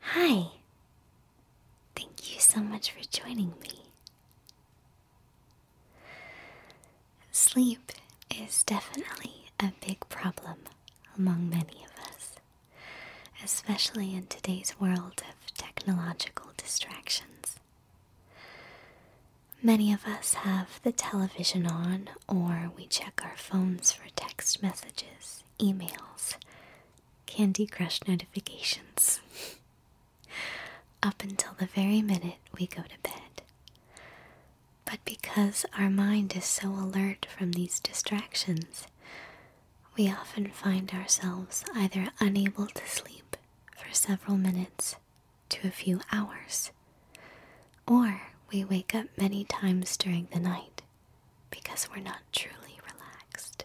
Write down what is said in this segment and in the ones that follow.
Hi. Thank you so much for joining me. Sleep is definitely a big problem among many of us, especially in today's world of technological distractions. Many of us have the television on, or we check our phones for text messages, emails, Candy Crush notifications. Up until the very minute we go to bed. But because our mind is so alert from these distractions, we often find ourselves either unable to sleep for several minutes to a few hours. Or we wake up many times during the night because we're not truly relaxed.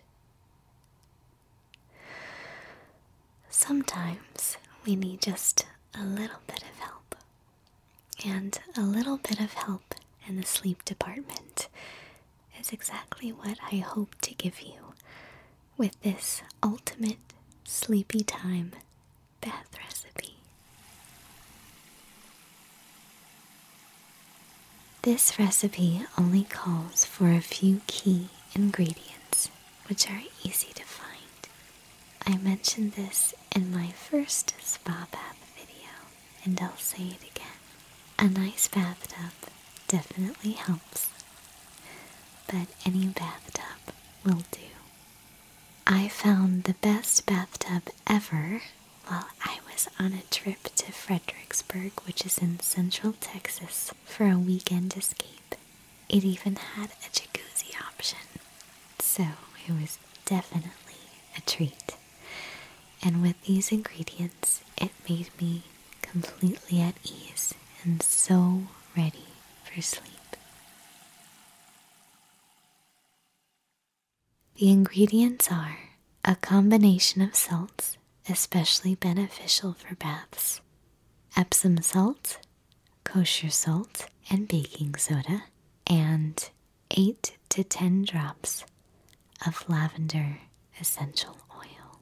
Sometimes we need just a little bit of help. And a little bit of help in the sleep department is exactly what I hope to give you with this ultimate sleepy time bath recipe. This recipe only calls for a few key ingredients, which are easy to find. I mentioned this in my first spa bath video, and I'll say it again. A nice bathtub definitely helps, but any bathtub will do. I found the best bathtub ever while I was on a trip to Fredericksburg, which is in central Texas, for a weekend escape. It even had a jacuzzi option, so it was definitely a treat. And with these ingredients, it made me completely at ease and so ready for sleep. The ingredients are a combination of salts, especially beneficial for baths, Epsom salt, kosher salt, and baking soda, and 8 to 10 drops of lavender essential oil.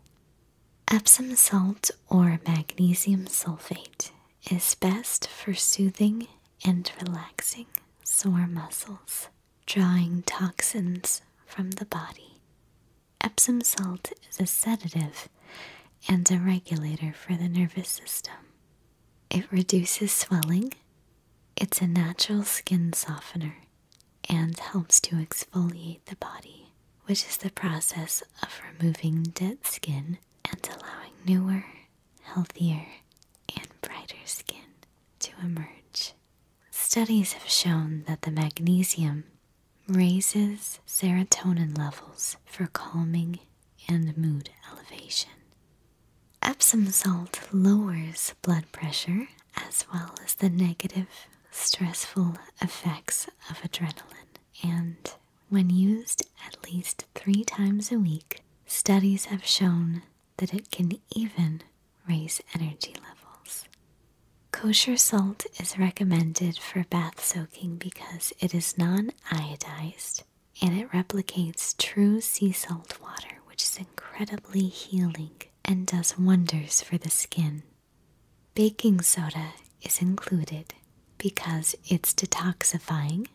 Epsom salt or magnesium sulfate is best for soothing and relaxing sore muscles, drawing toxins from the body. Epsom salt is a sedative and a regulator for the nervous system. It reduces swelling, it's a natural skin softener, and helps to exfoliate the body which is the process of removing dead skin and allowing newer, healthier, and brighter skin to emerge. Studies have shown that the magnesium raises serotonin levels for calming and mood elevation. Epsom salt lowers blood pressure as well as the negative, stressful effects of adrenaline and when used at least three times a week, studies have shown that it can even raise energy levels. Kosher salt is recommended for bath soaking because it is non iodized and it replicates true sea salt water, which is incredibly healing and does wonders for the skin. Baking soda is included because it's detoxifying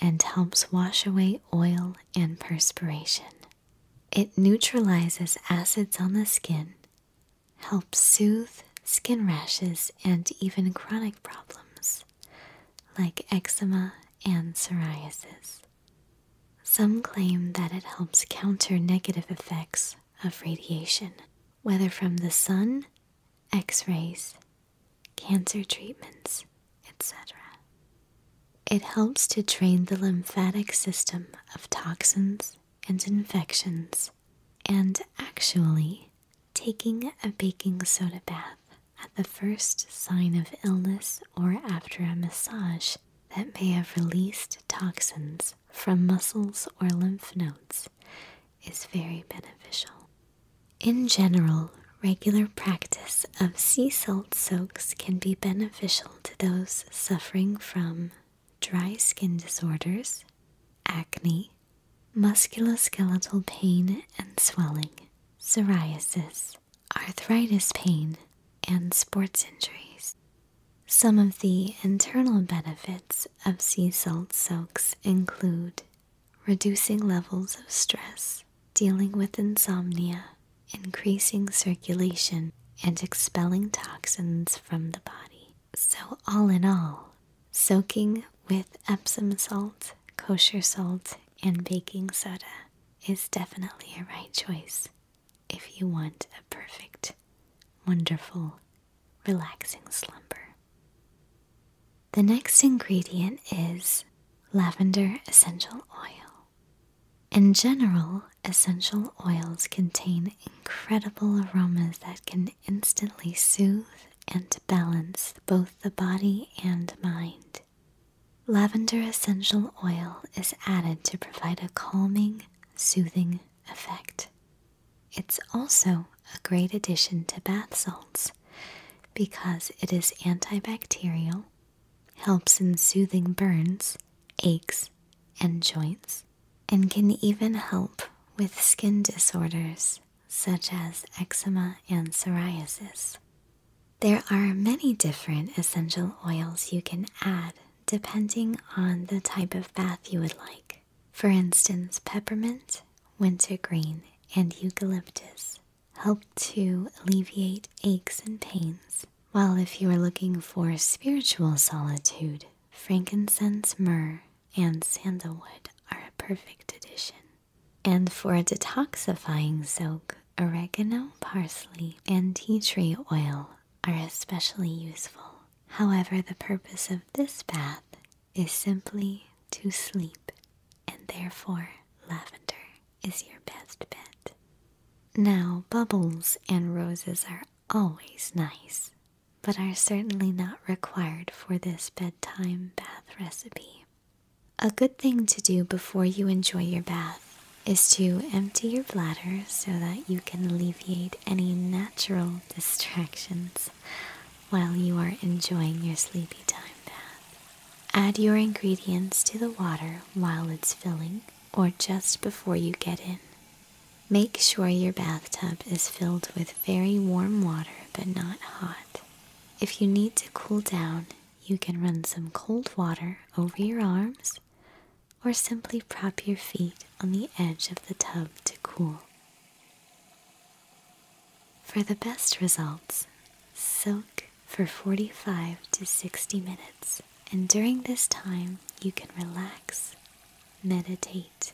and helps wash away oil and perspiration. It neutralizes acids on the skin, helps soothe skin rashes and even chronic problems like eczema and psoriasis. Some claim that it helps counter negative effects of radiation, whether from the sun, x rays, cancer treatments, etc. It helps to drain the lymphatic system of toxins and infections, and actually, taking a baking soda bath at the first sign of illness or after a massage that may have released toxins from muscles or lymph nodes is very beneficial. In general, regular practice of sea salt soaks can be beneficial to those suffering from dry skin disorders, acne, musculoskeletal pain and swelling, psoriasis, arthritis pain, and sports injuries. Some of the internal benefits of sea salt soaks include reducing levels of stress, dealing with insomnia, increasing circulation, and expelling toxins from the body. So, all in all, soaking with Epsom salt, kosher salt, and baking soda is definitely a right choice if you want a perfect wonderful, relaxing slumber. The next ingredient is lavender essential oil. In general, essential oils contain incredible aromas that can instantly soothe and balance both the body and mind. Lavender essential oil is added to provide a calming, soothing effect. It's also a great addition to bath salts because it is antibacterial, helps in soothing burns, aches, and joints, and can even help with skin disorders such as eczema and psoriasis. There are many different essential oils you can add depending on the type of bath you would like. For instance, peppermint, wintergreen, and eucalyptus help to alleviate aches and pains, while if you are looking for spiritual solitude, frankincense, myrrh, and sandalwood are a perfect addition. And for a detoxifying soak, oregano, parsley, and tea tree oil are especially useful. However, the purpose of this bath is simply to sleep, and therefore lavender is your best bet. Now, bubbles and roses are always nice, but are certainly not required for this bedtime bath recipe. A good thing to do before you enjoy your bath is to empty your bladder so that you can alleviate any natural distractions while you are enjoying your sleepy time bath. Add your ingredients to the water while it's filling or just before you get in. Make sure your bathtub is filled with very warm water but not hot. If you need to cool down, you can run some cold water over your arms or simply prop your feet on the edge of the tub to cool. For the best results, soak for 45 to 60 minutes, and during this time, you can relax, meditate,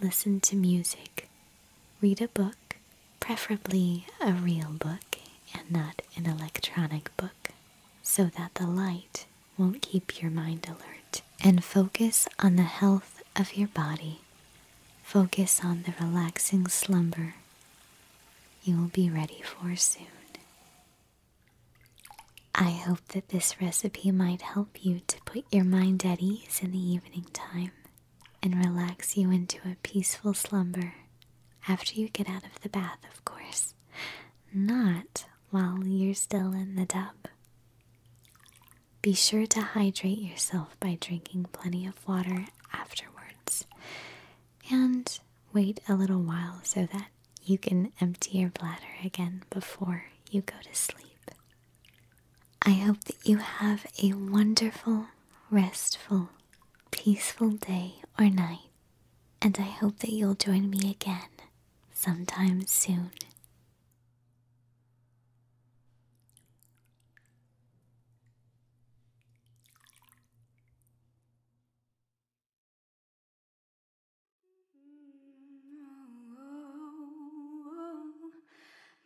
listen to music, read a book, preferably a real book and not an electronic book, so that the light will not keep your mind alert and focus on the health of your body. Focus on the relaxing slumber you will be ready for soon. I hope that this recipe might help you to put your mind at ease in the evening time and relax you into a peaceful slumber after you get out of the bath, of course, not while you're still in the tub. Be sure to hydrate yourself by drinking plenty of water afterwards and wait a little while so that you can empty your bladder again before you go to sleep. I hope that you have a wonderful, restful, peaceful day or night, and I hope that you'll join me again sometime soon.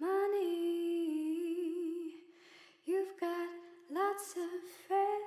Money, you've got lots of friends.